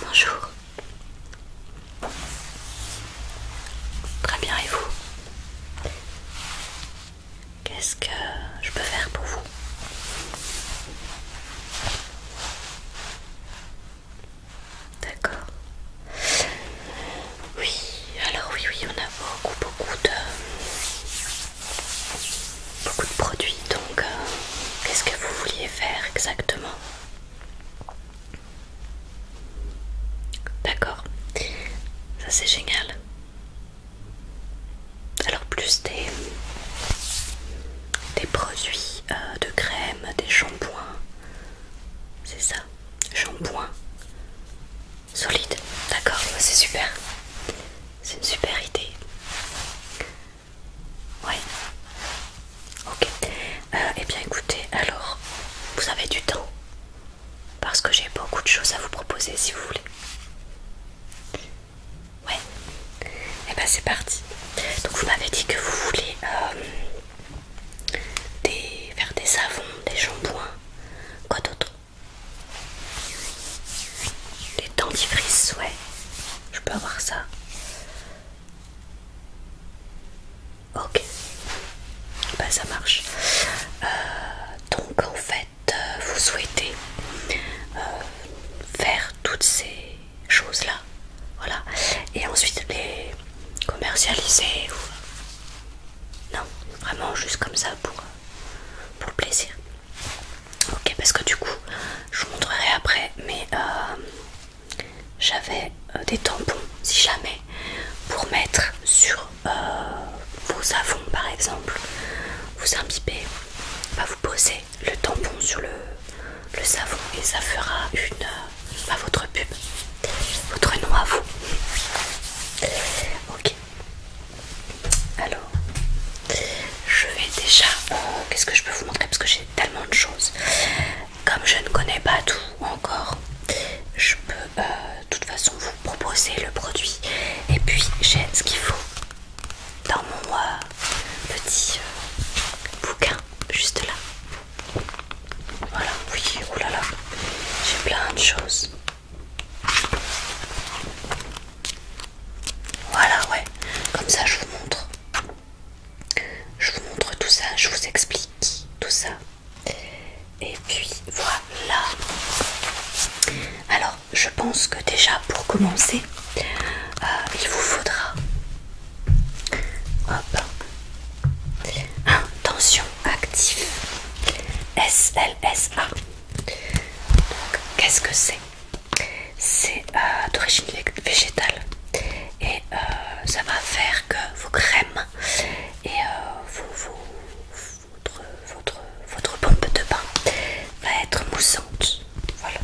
Bonjour. Très bien, et vous Qu'est-ce que je peux faire pour vous D'accord. Oui, alors oui, oui, on a beaucoup, beaucoup de, beaucoup de produits. Donc, euh, qu'est-ce que vous vouliez faire exactement D'accord, ça c'est génial. Alors plus des, des produits euh, de crème, des shampoings, c'est ça Shampoings Solide, d'accord, bah, c'est super. C'est une super idée. Ouais. Ok. Euh, eh bien écoutez, alors, vous avez du temps Parce que j'ai beaucoup de choses à vous proposer si vous voulez. Ouais. Eh bien c'est parti. Donc vous m'avez dit que vous voulez euh, faire des savons, des shampoings. Quoi d'autre les dentifrices, ouais. Je peux avoir ça. Ok. Bah ça marche. Euh, donc en fait, euh, vous souhaitez euh, faire toutes ces choses-là. Voilà. Et ensuite les commercialiser. Non, vraiment juste comme ça pour, pour le plaisir. Ok, parce que du coup, je vous montrerai après, mais euh, j'avais euh, des tampons, si jamais, pour mettre sur euh, vos savons par exemple. Vous imbibez, vous posez le tampon sur le, savon et ça fera une... Bah, votre pub, votre nom à vous. Ok, alors, je vais déjà... Oh, qu'est-ce que je peux vous montrer Parce que j'ai tellement de choses. Comme je ne connais pas tout encore, je peux euh, de toute façon vous proposer le produit. Et puis, j'ai ce qu'il faut dans mon petit euh, bouquin, juste là. Voilà, oui, oh là là, j'ai plein de choses. Voilà, ouais. Comme ça, je vous montre. Je vous montre tout ça, je vous explique tout ça. Et puis voilà. Alors, je pense que déjà pour commencer, euh, il vous faudra... Hop. Un tension actif SLSA Qu'est-ce que c'est C'est euh, d'origine végétale et euh, ça va faire que vos crèmes et euh, votre, votre, votre pompe de bain va être moussante. Voilà.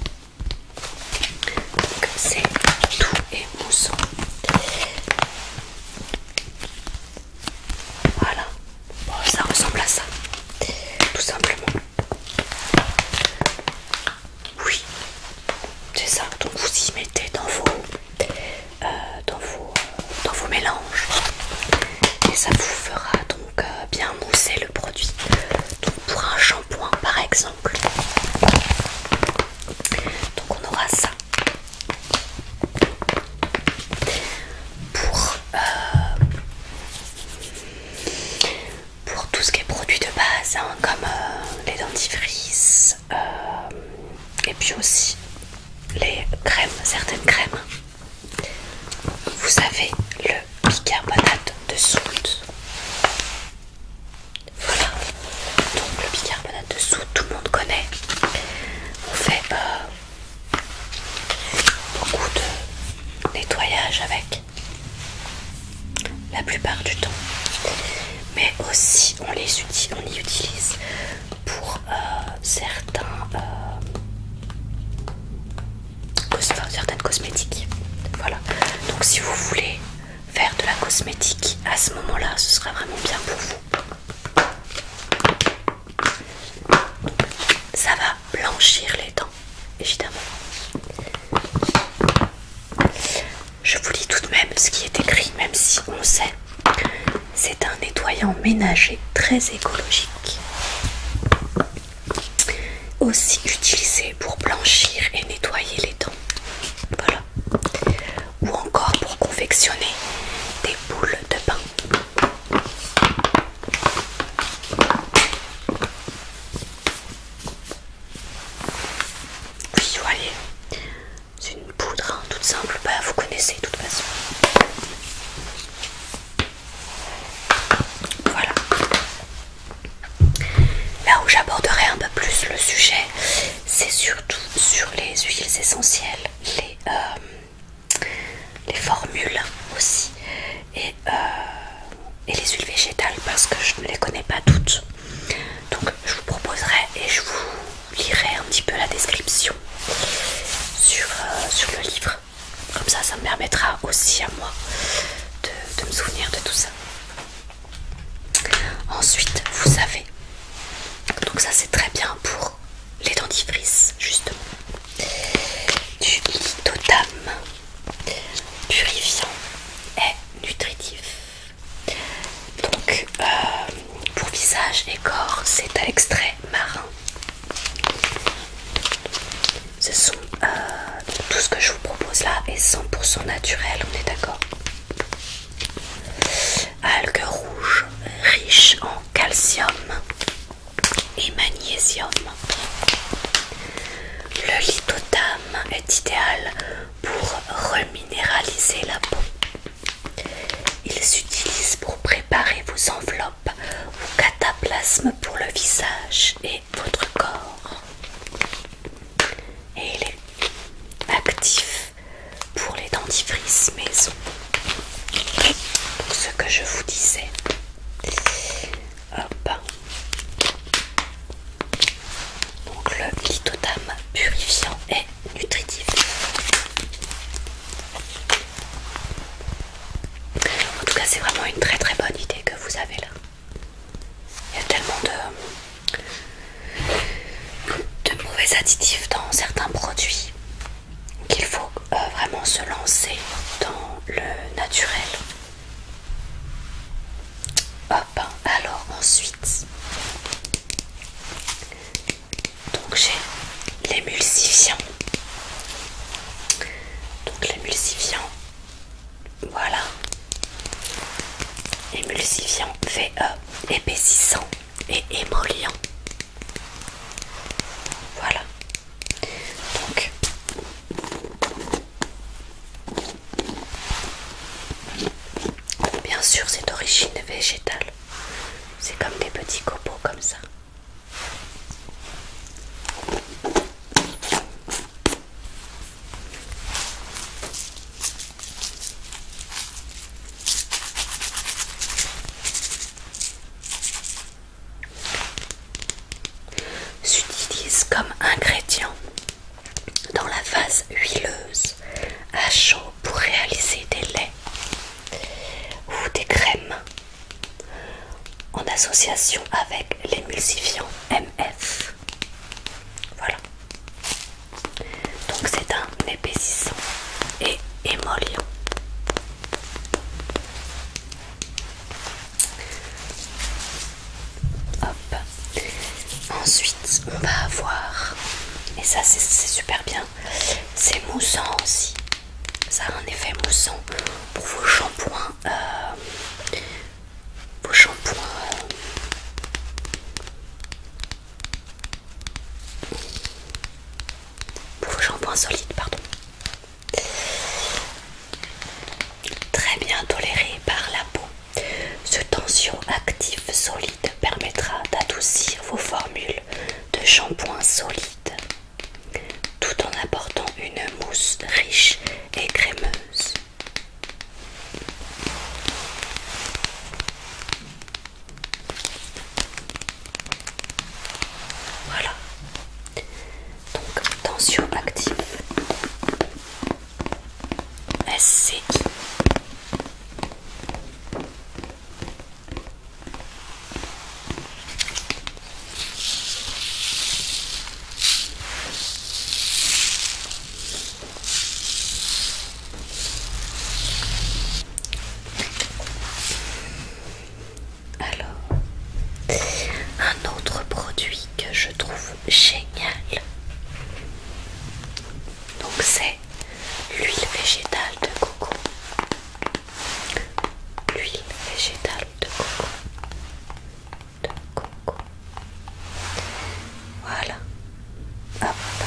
Donc c'est tout et moussant. Voilà, ça ressemble à ça, tout simplement. Oui, c'est ça. Donc vous y mettez dans vos, euh, dans euh, mélanges, et ça vous fera donc euh, bien mousser le produit. Donc pour un shampoing par exemple. Donc on aura ça. Euh, pour, tout ce qui est produit de base, hein, comme euh, les dentifrices euh, et puis aussi les crèmes, certaines crèmes. Vous avez le bicarbonate de soude. Voilà, donc le bicarbonate de soude, tout le monde connaît. On fait beaucoup de nettoyage avec la plupart du temps mais aussi on les utilise, on y utilise pour euh, certains euh, certaines cosmétiques voilà donc si vous voulez faire de la cosmétique à ce moment là ce sera vraiment bien pour vous ça va blanchir les dents, évidemment. Je vous lis tout de même ce qui est écrit, même si on sait. C'est un nettoyant ménager très écologique. Aussi utilisé pour blanchir et nettoyer les dents. Voilà. Ou encore pour confectionner des boules de pain. Oui, vous voyez, c'est une poudre hein, toute simple, bah, vous connaissez de toute façon. Voilà. Là où j'aborderai un peu plus le sujet, c'est surtout sur les huiles essentielles, les, euh, les formules aussi et, euh, et les huiles végétales parce que je ne les connais pas toutes. Donc je vous proposerai et je vous lirai un petit peu la description euh, sur, le livre. Comme ça, ça me permettra aussi à moi de, de me souvenir de tout ça. Ensuite, vous savez donc ça c'est très bien pour les dentifrices justement du Totam purifiant et nutritif donc euh, pour visage et corps c'est à l'extrait marin ce sont euh, tout ce que je vous propose là est 100% naturel on est d'accord algues rouges riches en calcium et magnésium. Le lithotame est idéal pour reminéraliser la peau. Il s'utilise pour préparer vos enveloppes vos cataplasmes pour le visage et votre corps. Et il est actif pour les dentifrices maison. ce que je vous disais. Donc le litotame purifiant et nutritif. En tout cas, c'est vraiment une très très bonne idée que vous avez là. Il y a tellement de mauvais additifs dans certains produits qu'il faut euh, vraiment se lancer dans le naturel. Hop, alors ensuite, donc j'ai l'émulsifiant. Donc l'émulsifiant, voilà, L'émulsifiant fait e, épaississant et émollient. Voilà, donc, bien sûr, c'est d'origine végétale. C'est comme des petits copeaux comme ça. S'utilise comme ingrédient dans la phase huileuse à chaud pour réaliser des laits ou des crèmes en association avec l'émulsifiant MF. Voilà. Donc c'est un épaississant et émollient. Hop. Ensuite, on va avoir, et ça c'est super bien, c'est moussant aussi. Ça a un effet moussant pour vos shampoings. Euh, vos shampoings. Euh, pour vos shampoings solides, pardon. Très bien toléré par la peau, ce tension actif solide permettra d'adoucir vos formules de shampoing solide tout en apportant une mousse riche et crémeuse. Voilà, donc tension active SCI alors, un autre produit que je trouve génial, donc c'est l'huile végétale de coco. L'huile végétale de coco. De coco. Voilà. Bon. Ah,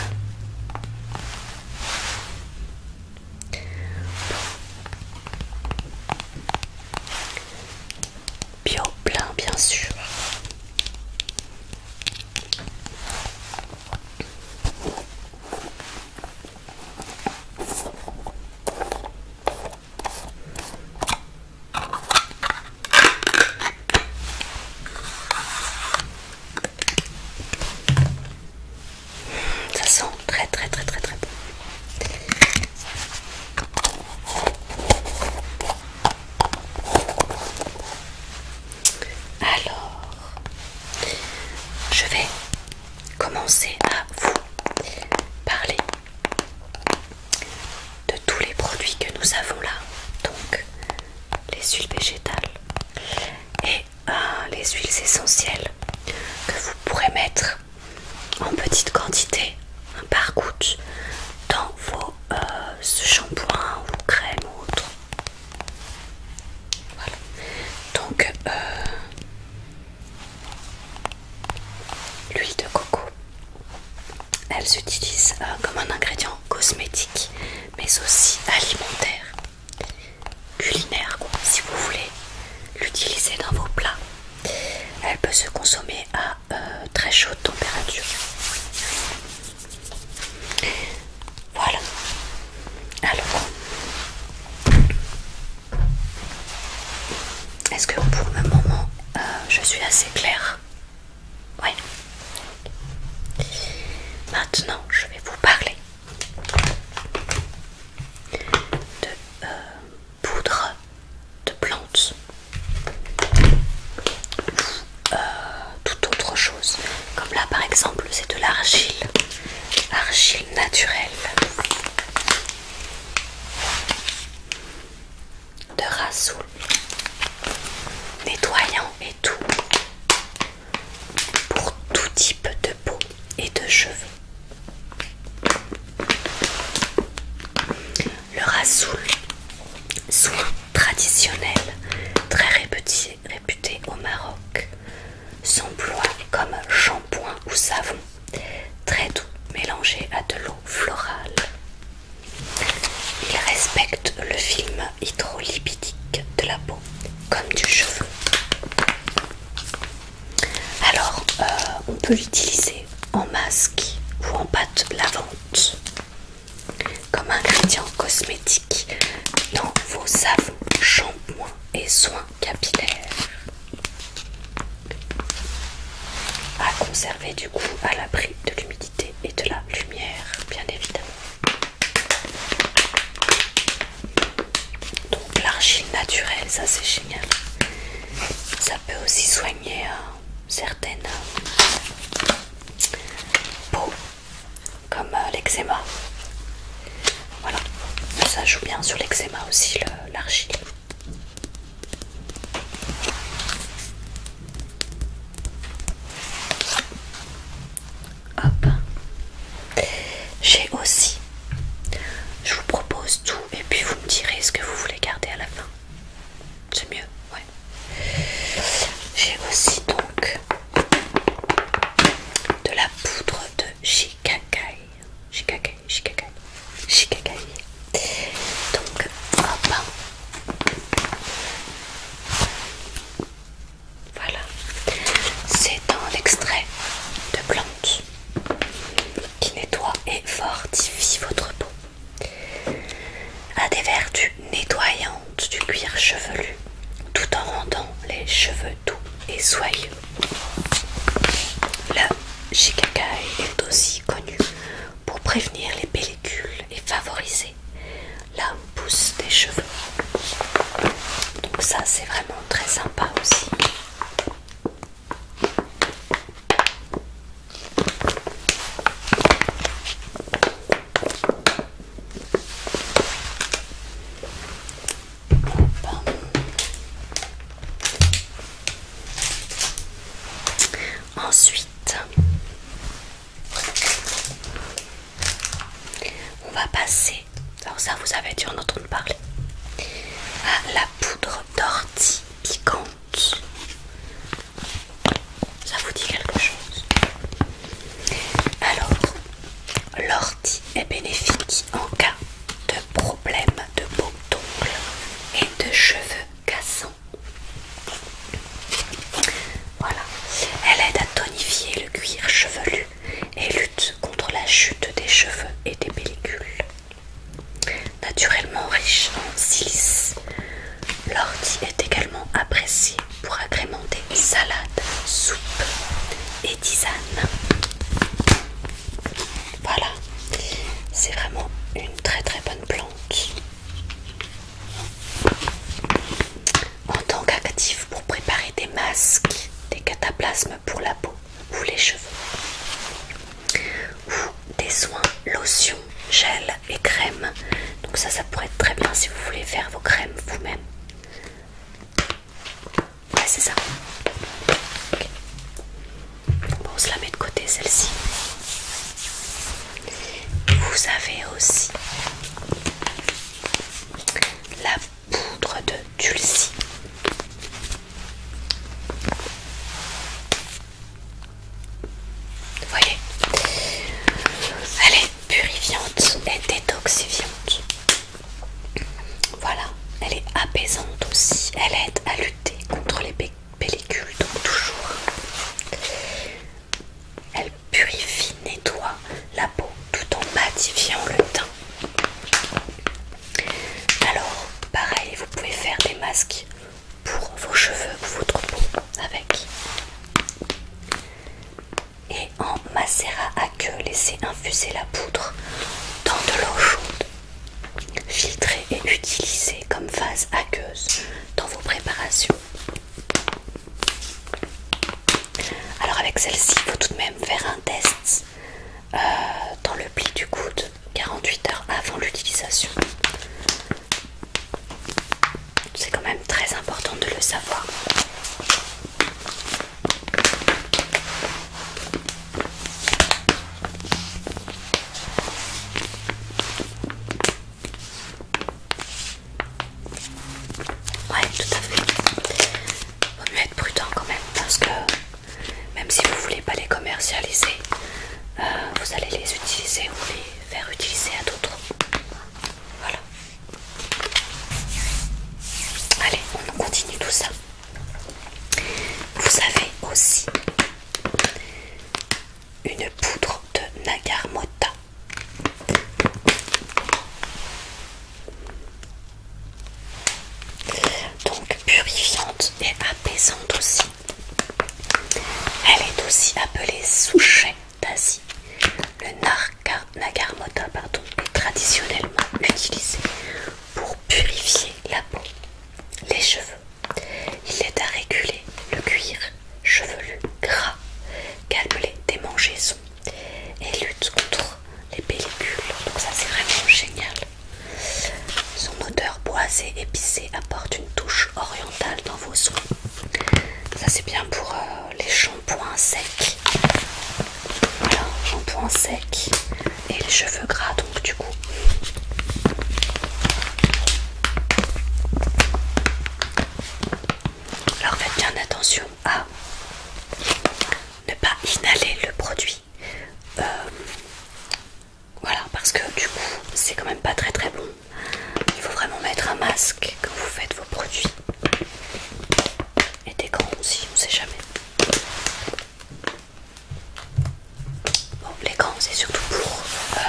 Bio plein bien sûr. Ça sent très très très très très bon. Alors, je vais commencer à vous parler de tous les produits que nous avons là. Donc, les huiles végétales et euh, les huiles essentielles que vous pourrez mettre en petite quantité par goutte dans vos euh, shampoings ou crèmes ou autre. Donc euh, l'huile de coco, elle s'utilise euh, comme un ingrédient cosmétique, mais aussi alimentaire, culinaire, si vous voulez l'utiliser dans vos plats. Elle peut se consommer à euh, très chaude température. Voilà. Alors, est-ce que pour le moment euh, je suis assez claire Oui. Maintenant, je vais vous parler de euh, poudre de plantes ou euh, toute autre chose. Comme là par exemple, c'est de l'argile, argile naturelle de rasoul, nettoyant et tout pour tout type de peau et de cheveux. Le rasoul, soin traditionnel, très réputé, au Maroc, s'emploie comme shampoing ou savon, très doux mélangé à de l'eau florale. Il respecte le film hydrolipidique de la peau comme du cheveu. Alors, euh, on peut l'utiliser en masque ou en pâte lavante comme ingrédient cosmétique dans vos savons, shampoings et soins capillaires. À conserver du coup à l'abri de l'humidité et de la lumière, bien évidemment. Donc l'argile naturelle, ça c'est génial ça peut aussi soigner euh, certaines euh, peaux comme euh, l'eczéma. Voilà, ça joue bien sur l'eczéma aussi, l'argile. Hop, j'ai aussi je vous propose tout et puis vous me direz ce que vous voulez garder à la fin. C'est mieux, ouais. J'ai aussi donc de la poudre de Shikakai. Shikakai, Shikakai, Shikakai. Donc, hop. Voilà. C'est un extrait de plante qui nettoie et fortifie votre peau, a des vertus nettoyantes du cuir chevelu tout en rendant les cheveux doux et soyeux. Le shikakai est aussi connu pour prévenir les pellicules et favoriser la pousse des cheveux. Donc ça c'est vraiment très sympa aussi. Ensuite, on va passer, alors ça vous avez dû en entendre parler, à la poudre d'ortie piquante. Ça vous dit quelque chose Alors, l'ortie est bénéfique en cas de problème de peau d'ongle et de cheveux cassants. Voilà, elle aide à tonifier le cuir chevelu et lutte contre la chute des cheveux et des pellicules. Naturellement riche en silice, l'ortie est également appréciée pour agrémenter salades, soupe et tisane Voilà, c'est vraiment une très très bonne plante. En tant qu'actif pour préparer des masques, des cataplasmes pour la peau, ou les cheveux ou des soins lotions, gel et crèmes. donc ça ça pourrait être très bien si vous voulez faire vos crèmes vous même ouais c'est ça on se la met de côté celle-ci vous avez aussi la poudre de Dulcie voyez Elle est purifiante et détoxifiante. Voilà, elle est apaisante aussi. Elle aide à lutter contre les pellicules, donc toujours. Elle purifie, nettoie la peau tout en matifiant le teint. Alors, pareil, vous pouvez faire des masques pour vos cheveux pour votre peau avec. Et en macéra à queue, laissez infuser la poudre dans de l'eau chaude. Filtrée et utilisez comme phase aqueuse dans vos préparations. Alors avec celle-ci, il faut tout de même faire un test euh, dans le pli du coude 48 heures avant l'utilisation. C'est quand même très important de le savoir. Ouais, tout à fait. Vaut mieux être prudent quand même parce que même si vous ne voulez pas les commercialiser, euh, vous allez les utiliser ou les faire utiliser à d'autres. Voilà. Allez, on continue tout ça. Vous avez aussi une poudre de Nagarmota. Donc purifiante et apaisante aussi. Elle est aussi appelée souchet d'Asie. Le nagarmota est traditionnellement utilisé pour purifier la peau, les cheveux. Il aide à réguler le cuir chevelu gras, calme les démangeaisons et lutte contre les pellicules. Donc ça c'est vraiment génial. Son odeur boisée épicée apporte une touche orientale dans vos soins. Ça c'est bien pour euh, les shampoings secs. Voilà, shampoing secs et les cheveux gras donc du coup. Alors faites bien attention à ne pas inhaler le produit. Euh, voilà, parce que du coup, c'est quand même pas très très bon. Il faut vraiment mettre un masque quand vous faites vos produits. Et des grands aussi, on sait jamais. Bon, les grands, c'est surtout pour euh,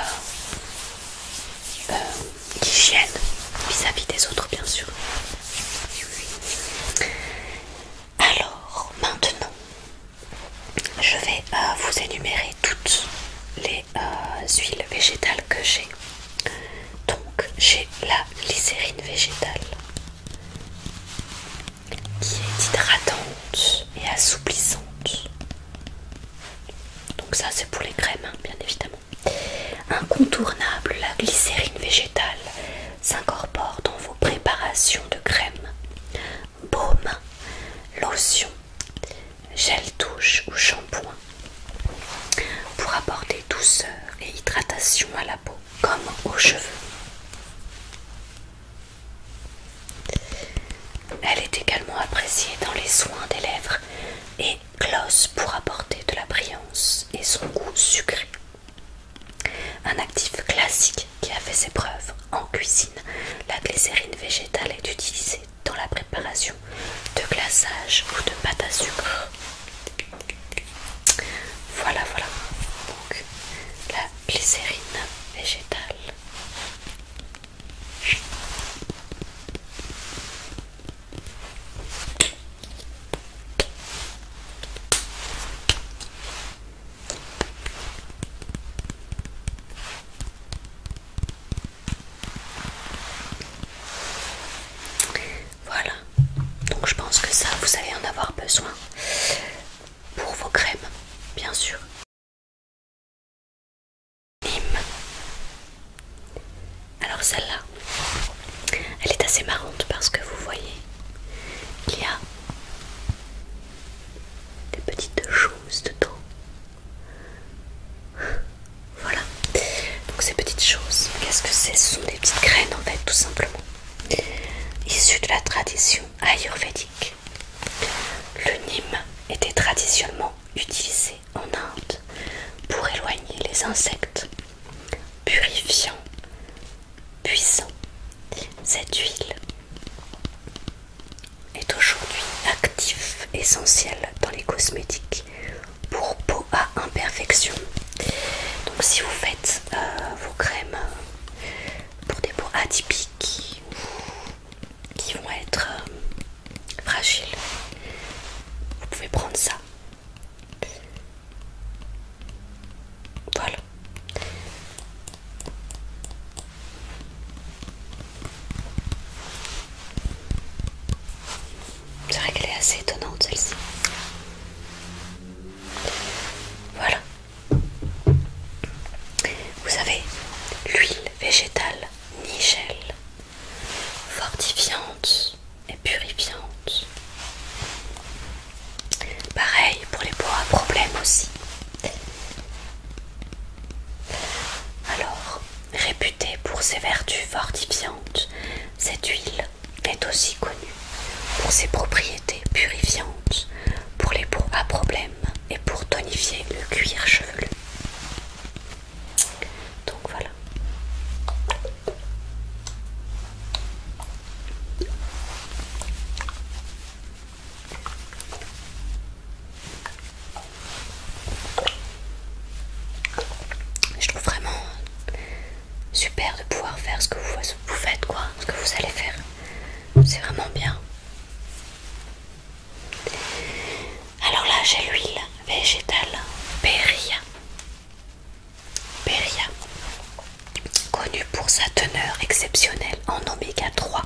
euh, l'hygiène vis-à-vis des autres, bien sûr. Alors, maintenant, je vais euh, vous énumérer toutes les euh, huiles végétales que j'ai. Donc j'ai la glycérine végétale qui est hydratante et assouplissante. Donc ça c'est pour les crèmes hein, bien évidemment. Incontournable, la glycérine végétale s'incorpore dans vos préparations de crème baume, lotion, gel douche ou shampoing hein, pour apporter douceur et hydratation à la peau comme aux cheveux. Elle est également appréciée dans les soins des lèvres et gloss pour apporter de la brillance et son goût sucré. Un actif classique qui a fait ses preuves en cuisine. La glycérine végétale est utilisée dans la préparation de glaçage ou de pâte à sucre. Voilà, voilà. Donc, la glycérine végétale. Voilà, donc je pense que ça vous allez en avoir besoin pour vos crèmes, bien sûr. Hum. Alors celle-là, elle est assez marrante parce que vous voyez, il y a des petites choses dedans. Voilà. Donc ces petites choses, qu'est-ce que c'est Ce sont des petites graines en fait, tout simplement. Issues de la tradition ayurvédique. Le nîmes était traditionnellement utilisé en Inde pour éloigner les insectes, purifiant, puissant. Cette huile est aujourd'hui actif essentiel dans les cosmétiques pour peau à imperfection. Donc si vous faites euh, vos crèmes pour des peaux atypiques qui vont être euh, fragiles, vous pouvez prendre ça. Voilà. C'est vrai qu'elle est assez étonnante celle-ci. Voilà. Vous avez l'huile végétale Nigel, fortifiante et purifiante. Pareil pour les peaux à problème aussi. Alors, réputée pour ses vertus fortifiantes, cette huile est aussi connue pour ses propriétés purifiantes, pour les peaux à problème et pour tonifier le cuir chevelu. Donc voilà. Je trouve vraiment super de pouvoir faire ce que vous, faites, quoi, ce que vous allez faire. C'est vraiment bien. Alors là, j'ai l'huile végétale Péria. Perilla connue pour sa teneur exceptionnelle en oméga 3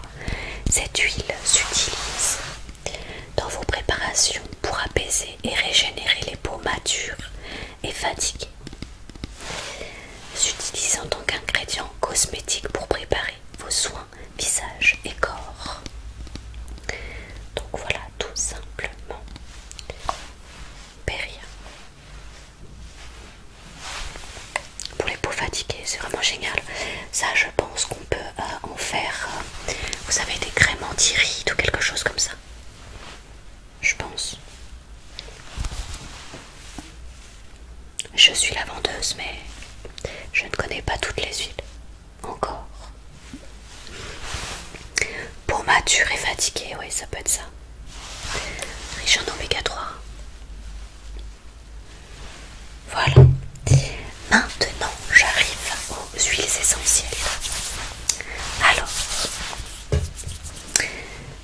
cette huile s'utilise dans vos préparations pour apaiser et régénérer les peaux matures et fatiguées. S'utilise en tant qu'ingrédient cosmétique pour préparer vos soins visage et corps. Donc voilà tout simplement. Péria. Pour les peaux fatiguées, c'est vraiment génial. Ça, je pense qu'on peut euh, en faire, euh, vous avez des crèmes anti ou quelque chose comme ça, je pense. Je suis la vendeuse, mais je ne connais pas toutes les huiles encore. Pour mature et fatiguée, oui, ça peut être ça. Riche en oméga 3. Voilà. Maintenant, j'arrive aux huiles essentielles. Alors,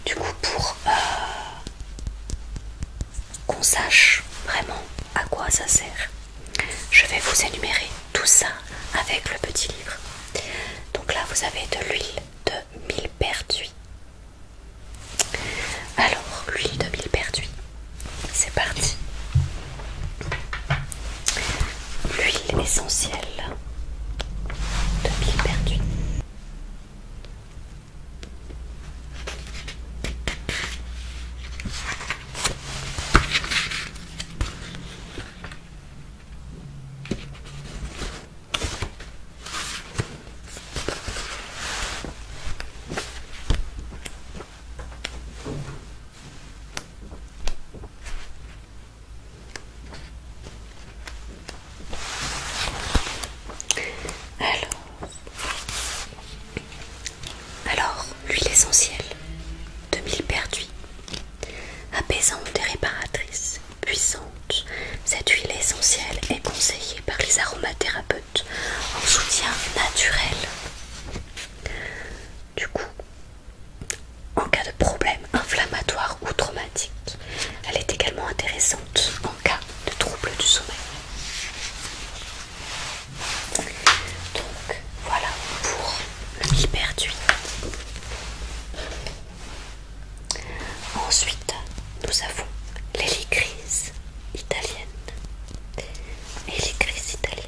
du coup, pour euh, qu'on sache vraiment à quoi ça sert, je vais vous énumérer tout ça avec le petit livre. Donc là, vous avez de l'huile de mille perduits. Alors, l'huile de mille millepertuis, c'est parti. L'huile essentielle de pile perdue. Alors, alors l'huile essentielle de mille apaisante et réparatrice, puissante. Cette huile essentielle est conseillée par les aromathérapeutes en soutien naturel. Du coup, en cas de problème inflammatoire ou traumatique, elle est également intéressante en cas de trouble du sommeil. Donc voilà pour le hyperduit. Ensuite, nous avons l'hélicrise italienne. italienne.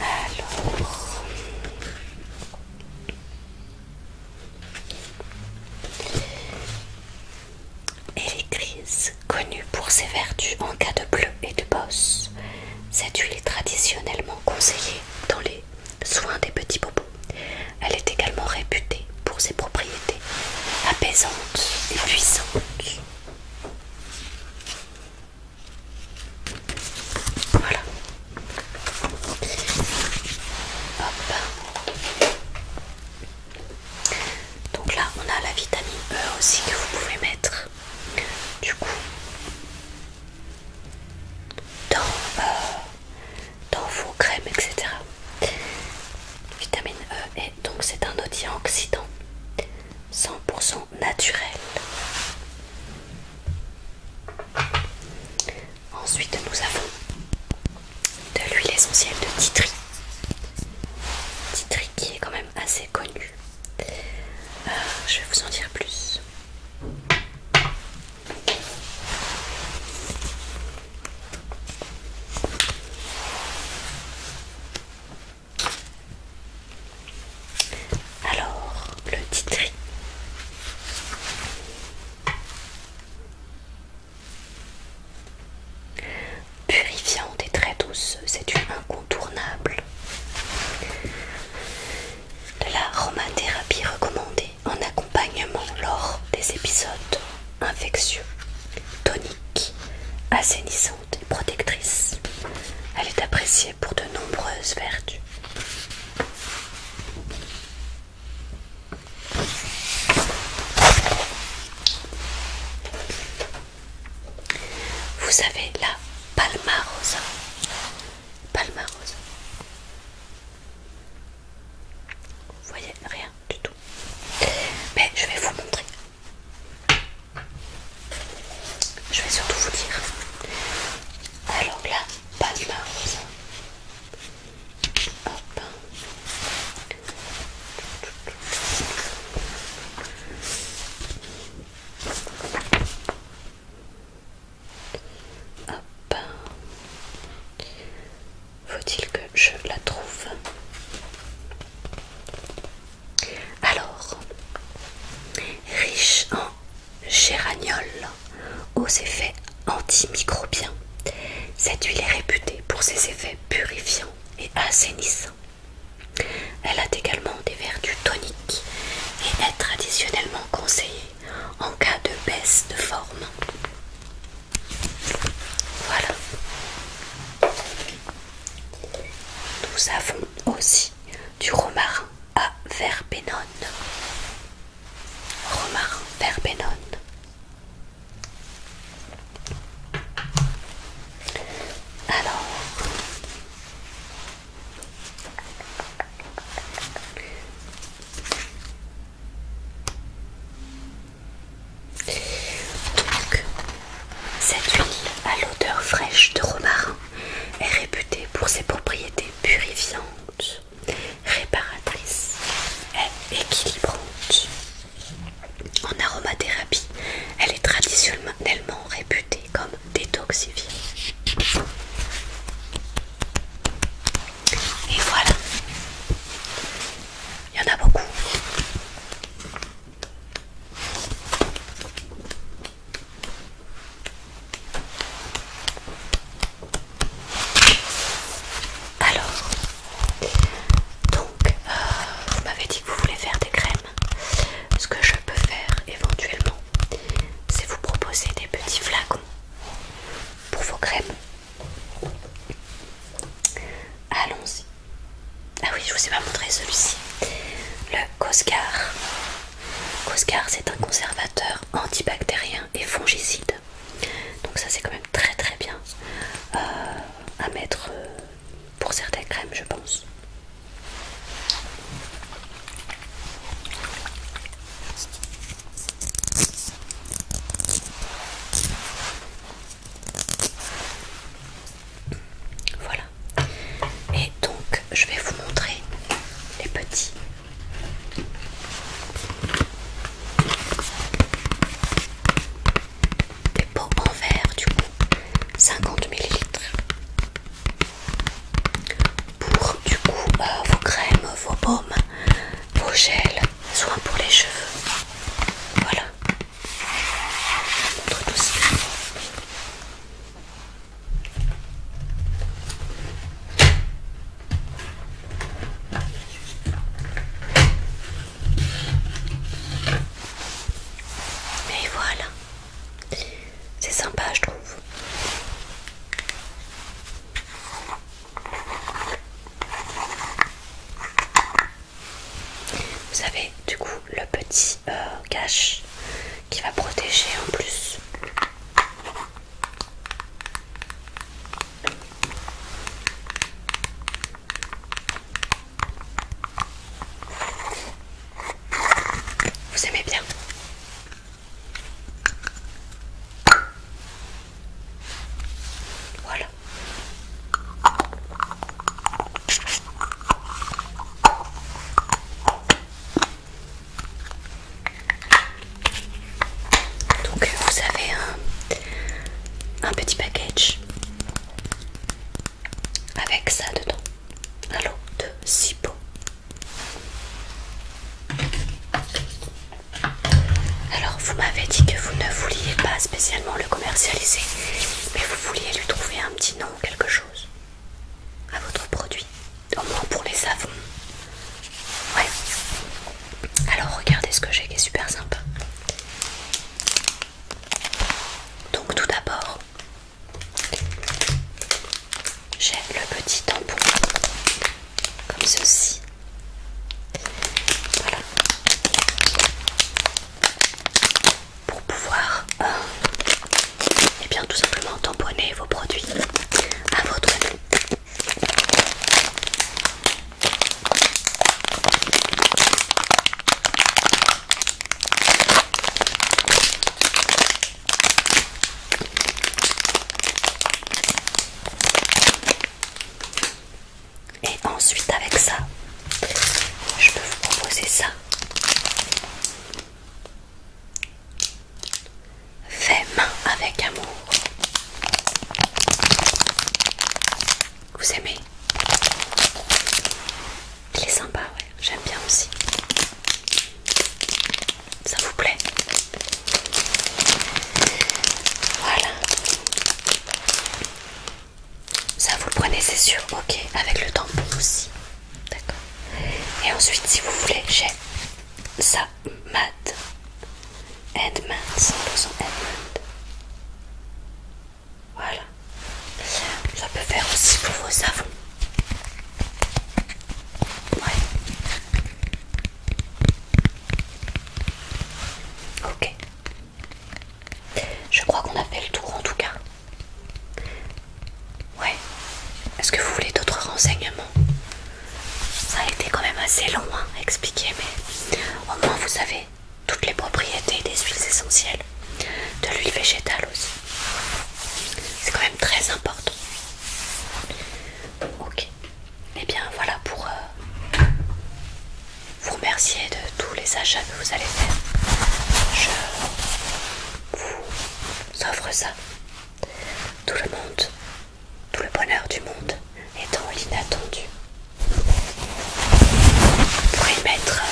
Alors, et les connue pour ses vertus en cas de bleu et de bosse. Cette huile est traditionnellement conseillée dans les soin des petits bobos. Elle est également réputée pour ses propriétés apaisantes et puissantes. Voilà. Hop. Donc là, on a la vitamine E aussi que vous pouvez mettre du coup dans euh, dans vos crèmes, etc. Vitamine E, et donc c'est un oxydant 100% naturel. Ensuite, nous avons de l'huile essentielle de titri. Titri qui est quand même assez connu. Euh, je vais vous en dire plus. Alors, le titri. Purifiant des traits doux, c'est une incontournable. De la recommandée en accompagnement lors des épisodes infectieux, toniques assainissantes et protectrices Elle est appréciée pour de nombreuses vertus. Vous avez la Palmarosa. Palmarosa. Vous voyez rien du tout. Mais je vais vous montrer. Je vais surtout vous dire. Alors là, pas de Hop. Ah ben, faut-il que je la trouve Alors, riche en géraniol aux effets antimicrobiens, cette huile est réputée pour ses effets purifiants et assainissants. Elle a également des vertus toniques et est traditionnellement conseillée en cas de baisse de forme. Voilà. Nous avons aussi du romarin à verbenone. Romarin verbenone. Alors, cette huile à l'odeur fraîche de romarin est réputée pour ses propriétés purifiantes, réparatrices et équilibrantes. En aromathérapie, elle est traditionnellement réputée comme détoxifiante. Et voilà. Il y en a beaucoup. Alors, donc, euh, vous m'avez dit que vous voulez faire des crèmes. Ce que je peux faire éventuellement, c'est vous proposer des petits flacons pour vos crèmes. Allons-y. Ah oui, je vous ai pas montré celui-ci. Le Coscar. Coscar, c'est un conservateur antibactérien et fongicide. Donc ça, c'est quand même très très bien euh, à mettre euh, pour certaines crèmes, je pense. Voilà. Et donc, je vais vous montrer les petits. Des pots en verre, du coup, 50 ml. Pour du coup euh, vos crèmes, vos baumes, vos gels, soin pour les cheveux. Voilà. Je voilà. C'est sympa, je trouve. Vous avez du coup le petit cache euh, qui va protéger en plus. Vous aimez bien voilà. Donc vous avez un, petit package avec ça dedans, un lot de 6 pots. Alors, vous m'avez dit que vous ne vouliez pas spécialement le commercialiser, mais vous vouliez lui trouver un petit nom ou quelque chose à votre produit, au moins pour les savons. Ouais. Alors, regardez ce que j'ai qui est super sympa. Donc, tout d'abord, j'ai le petit tampon comme ceci. Pour pouvoir et euh, eh bien tout simplement tamponner vos produits à votre et ensuite avec ça, je peux vous proposer ça. Fais main avec amour. Vous aimez Il est sympa, ouais. J'aime bien aussi. Ça vous plaît voilà. Ça vous le prenez, c'est sûr. Ok, avec le tampon aussi. D'accord. Et ensuite, si vous voulez, j'ai ça mat. Edmund, 100% Edmund. Voilà. Ça peut faire aussi pour vos savons. Ouais. Ok. Je crois qu'on a fait le tour en tout cas. Ouais. Est-ce que vous voulez d'autres renseignements Ça a été quand même assez long hein, à expliquer, mais au moins vous savez toutes les propriétés des huiles essentielles, de l'huile végétale aussi. C'est quand même très important. Ok. Et eh bien voilà pour euh, vous remercier de tous les achats que vous allez faire. Je vous offre ça. Tout le monde, tout le bonheur du monde est dans l'inattendu. Vous pourrez mettre euh,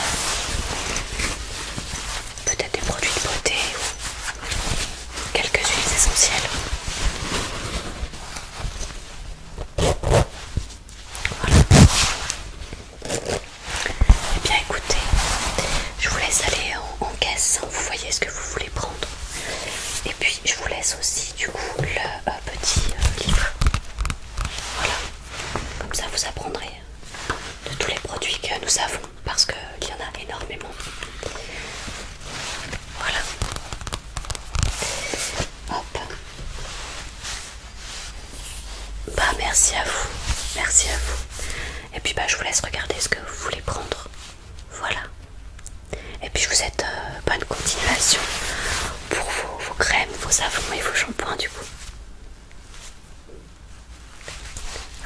peut-être des produits de beauté ou quelques huiles essentielles. Voilà. Eh bien écoutez, je vous laisse aller en, caisse, hein. vous voyez ce que vous voulez prendre. Et puis je vous laisse aussi du coup le euh, petit euh, livre. Voilà. Comme ça vous apprendrez de tous les produits que nous avons parce qu'il y en a énormément. Voilà. Hop. Bah merci à vous, merci à vous. Et puis bah je vous laisse regarder ce que vous voulez prendre. Voilà. Et puis je vous souhaite euh, bonne continuation pour vos, crèmes, vos savons et vos shampoings du coup.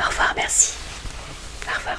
Au revoir, merci. Au revoir.